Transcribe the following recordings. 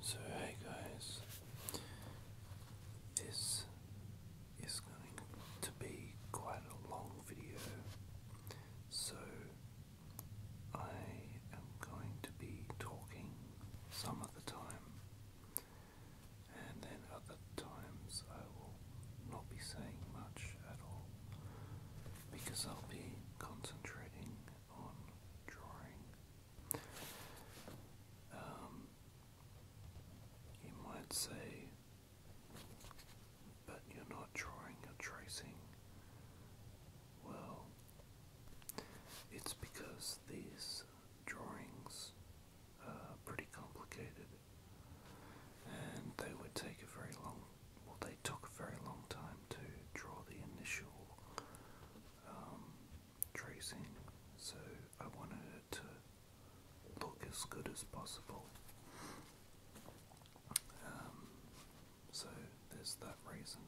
So, guys, this is going to be quite a long video, so I am going to be talking some of the time and then other times I will not be saying much at all because I'll be concentrating on drawing. Um, you might say, but you're not drawing, you're tracing. Well, it's because these drawings are pretty complicated and they would take a very long, well, they took a very long time to draw the initial um, tracing, so I wanted it to look as good as possible. Um, so there's that reason,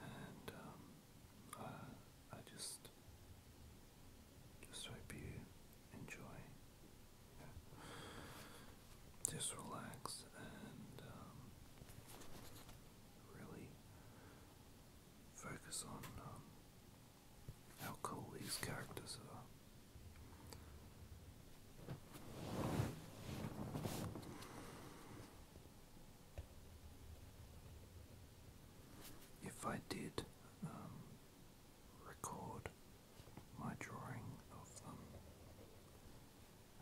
and um, I just just hope you enjoy. just relax and um, really focus on um, how cool these characters are. If I did um, record my drawing of them.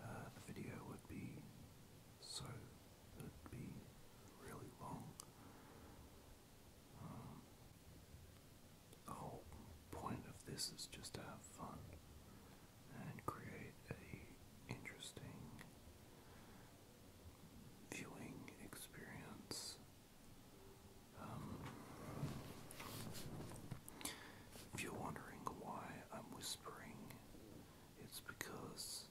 Uh, the video would be so it would be really long. Um, the whole point of this is just to have fun and create a interesting viewing experience um, if you're wondering why I'm whispering, it's because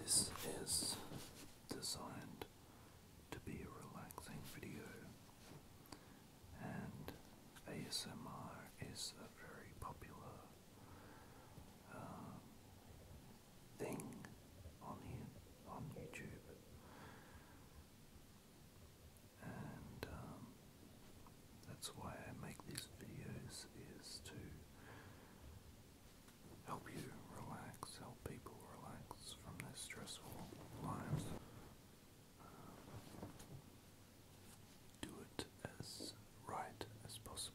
this is designed to be a relaxing video, and ASMR is a very popular uh, thing on you, on YouTube, and um, that's why I make these videos is to help you relax, help people relax from their stressful lives. do it as right as possible.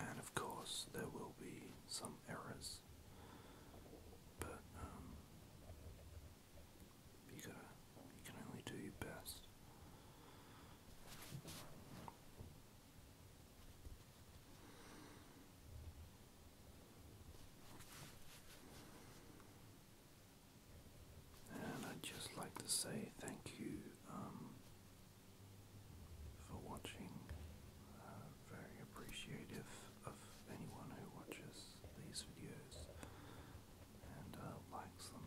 And of course, there will be some errors, but um, you can only do your best. And I'd just like to say thank you um, for watching. Uh, very appreciative of anyone who watches these videos and uh, likes them.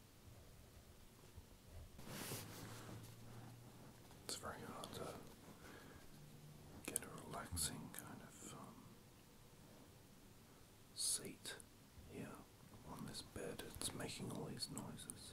It's very hard to get a relaxing kind of um, seat here on this bed. It's making all these noises.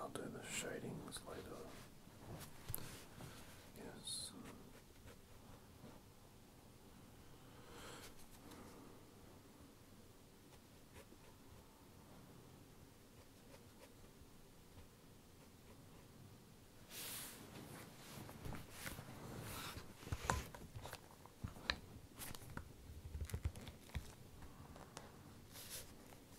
I'll do the shadings later. Yes.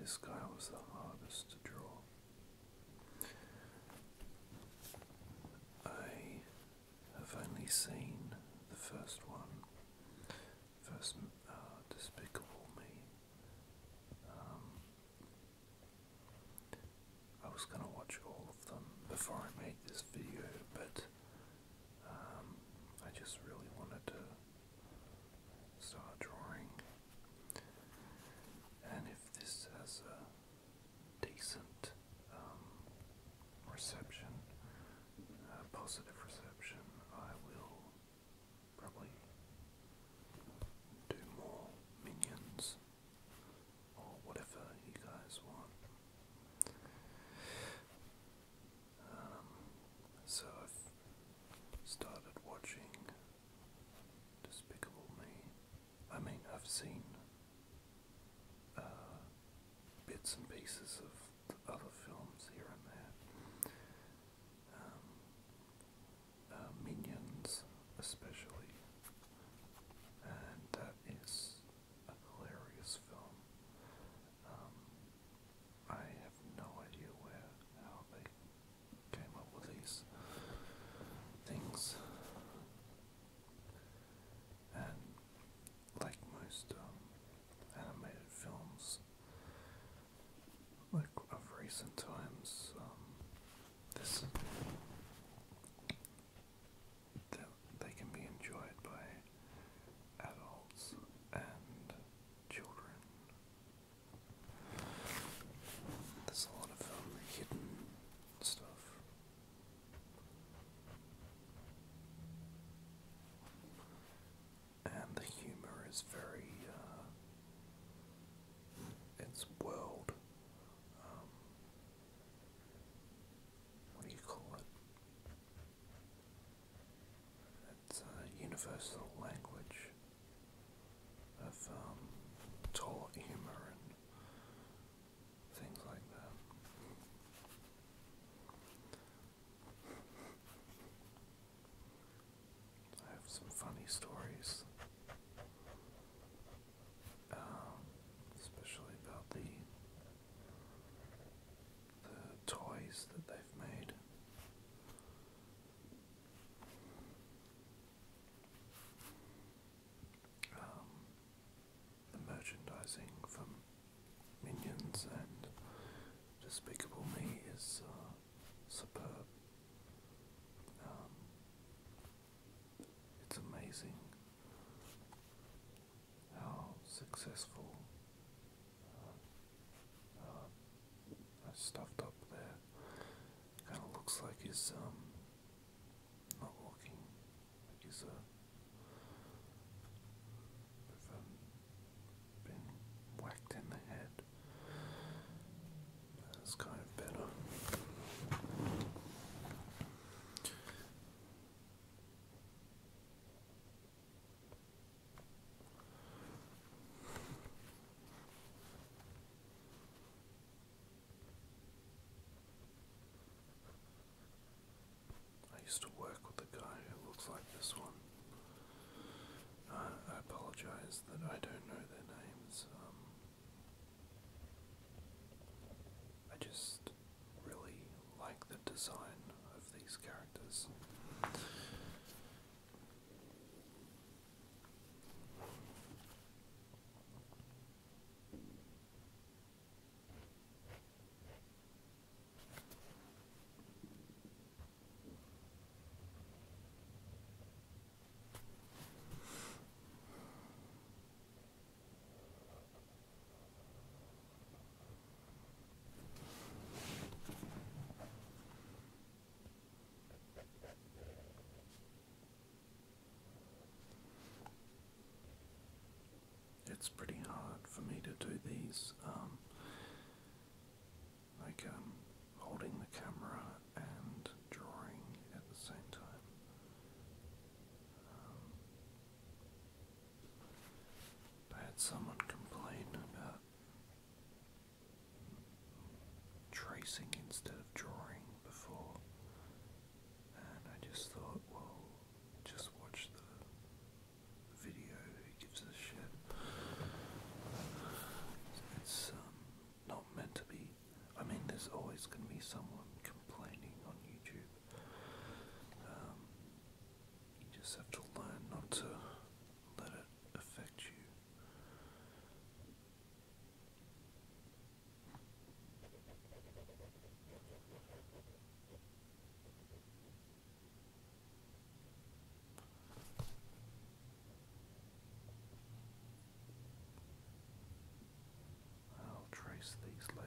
This guy was the hardest to draw. I have only seen the first one, first uh, Despicable Me. Um, I was going to watch all of them before I made this video, but um, I just really wanted to start drawing. And if this has a decent um, reception, positive reception, I will probably do more minions or whatever you guys want. Um, so I've started watching Despicable Me. I mean, I've seen uh, bits and pieces of other films here and there. Um, uh, minions, especially, and that is a hilarious film. Um, I have no idea where how they came up with these things, and like most um, animated films, like of recent times, um, this they can be enjoyed by adults and children. There's a lot of um, hidden stuff. And the humor is very uh, its world. Um, what do you call it? It's a universal language of um, humor and things like that. I have some funny stories, um, especially about the the toys that they've made. Um, the merchandising from Minions and Despicable Me is uh, superb. Um, it's amazing how successful uh, uh stuffed up there kind of looks like he's um, not walking, like he's uh, been whacked in the head that's kind of better. I used to work with a guy who looks like this one. I apologize that I don't know their names. Um, I just really like the design of these characters. It's pretty hard for me to do these um, like um, holding the camera and drawing at the same time. Um, I had someone complain about tracing instead of drawing before, and I just thought, well, just watch the video, who gives a shit? It's, um, not meant to be. I mean, there's always going to be someone complaining on YouTube. Um, you just have to learn not to let it affect you. I'll trace these later.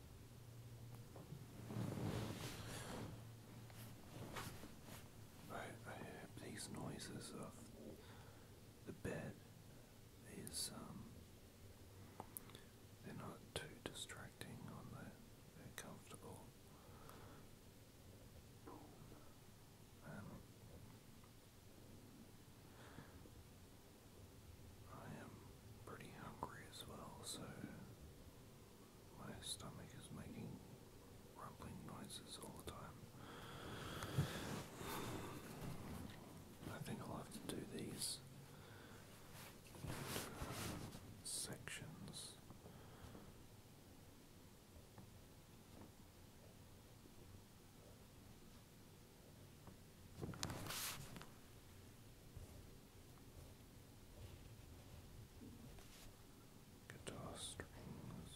I, I hope these noises of the bed is um they're not too distracting on the they're comfortable. Um, I am pretty hungry as well, so my stomach is making rumbling noises all the time. I think I'll have to do these sections guitar strings.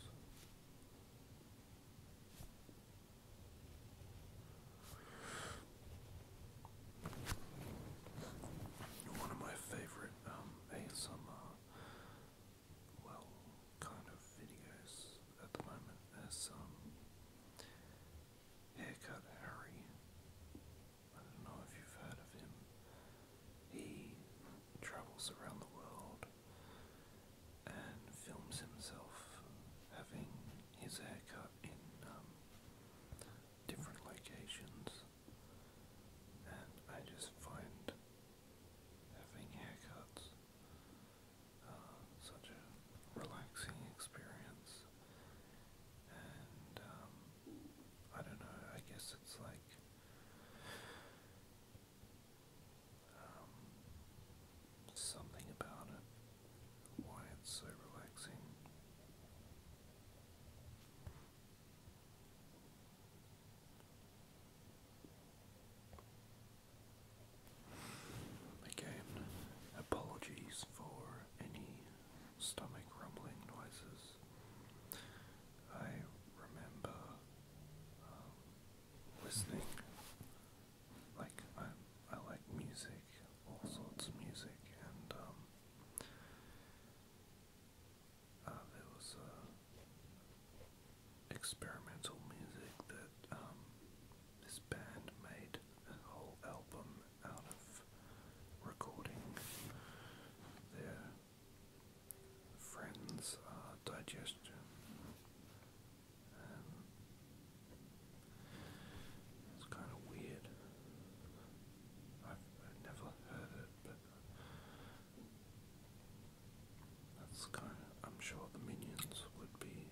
One of my favorite um, well, kind of videos at the moment is um, Haircut Harry. I don't know if you've heard of him. He travels around the world and films himself having his haircut in different locations. And I just find having haircuts uh, such a relaxing experience. Um, I don't know, I guess it's like um, something about it, why it's so relaxing. Again, apologies for any stomach rumbling noises. I remember uh, listening, like I, I like music, all sorts of music, and um, uh, there was uh, experimental music that um, this band made a whole album out of recording. Their friends digestion. it's kind of weird. i I've never heard it, but that's kind of. I'm sure the minions would be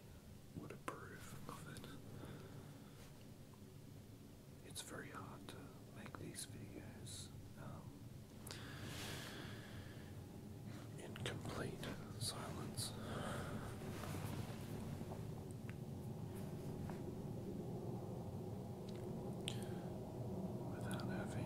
would approve of it it's very hard to make these videos um, in complete silence. Without having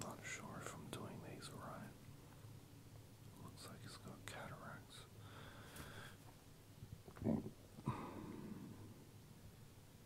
Not sure if I'm doing these right. Looks like it's got cataracts.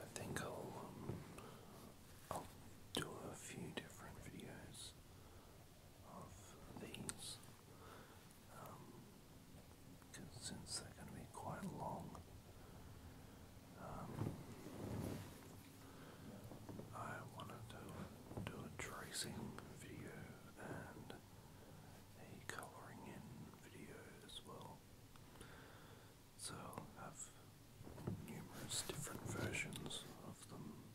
I think um, I'll do a few different videos of these um, since they're going to be quite long. Um, I wanted to do a tracing video and a colouring in video as well. So I'll have numerous different versions of them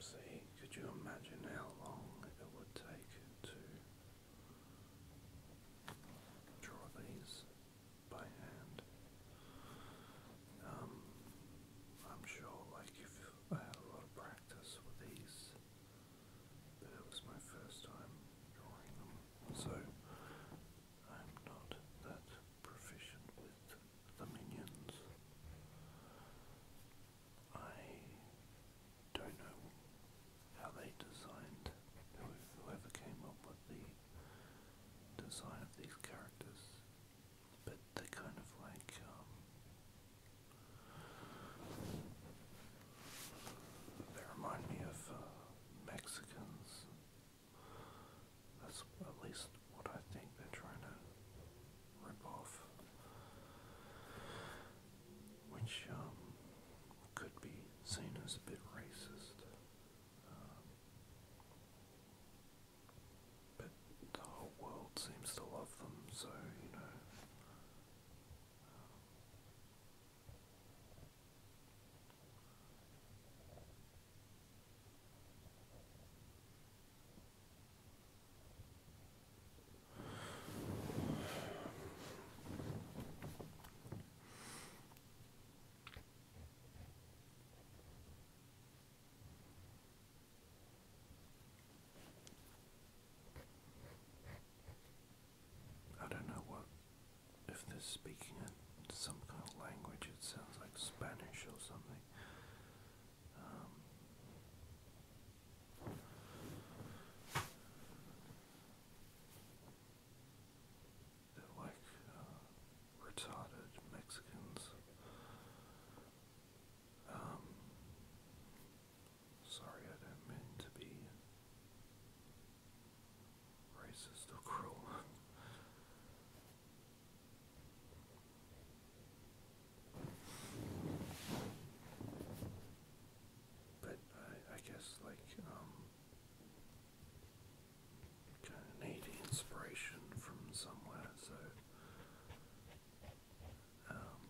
See, could you imagine how long it would take to draw these by hand? Um, I'm sure, like, if I had a lot of practice with these, but it was my first time drawing them, so I'm not that proficient with the minions. I don't know how they designed, whoever came up with the design of these characters, but they kind of like, um, they remind me of uh, Mexicans that's at least what I think they're trying to rip off. Which um, could be seen as a bit racist. Um, but the whole world seems to love them, so you know. I don't know what if they're speaking in some kind of language, it sounds like Spanish or something they're like uh, retarded Mexicans. Um, sorry, I don't mean to be racist or cruel. But I, guess like um kind of need inspiration from somewhere, so um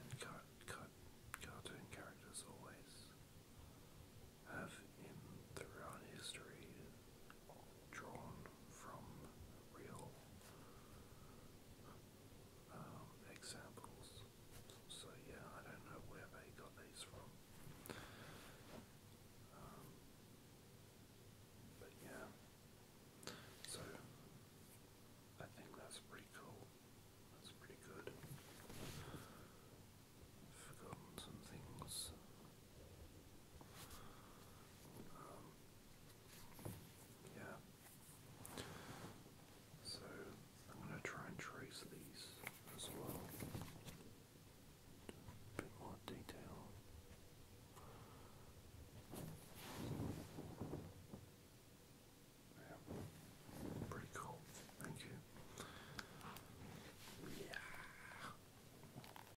and car car cartoon characters always have in throughout history drawn from real um, examples. So yeah, I don't know where they got these from. Um, but yeah, so I think that's pretty cool. That's pretty good. Forgotten some things yeah. So I'm going to try and trace these as well. A bit more detail. Yeah, pretty cool. Thank you. Yeah.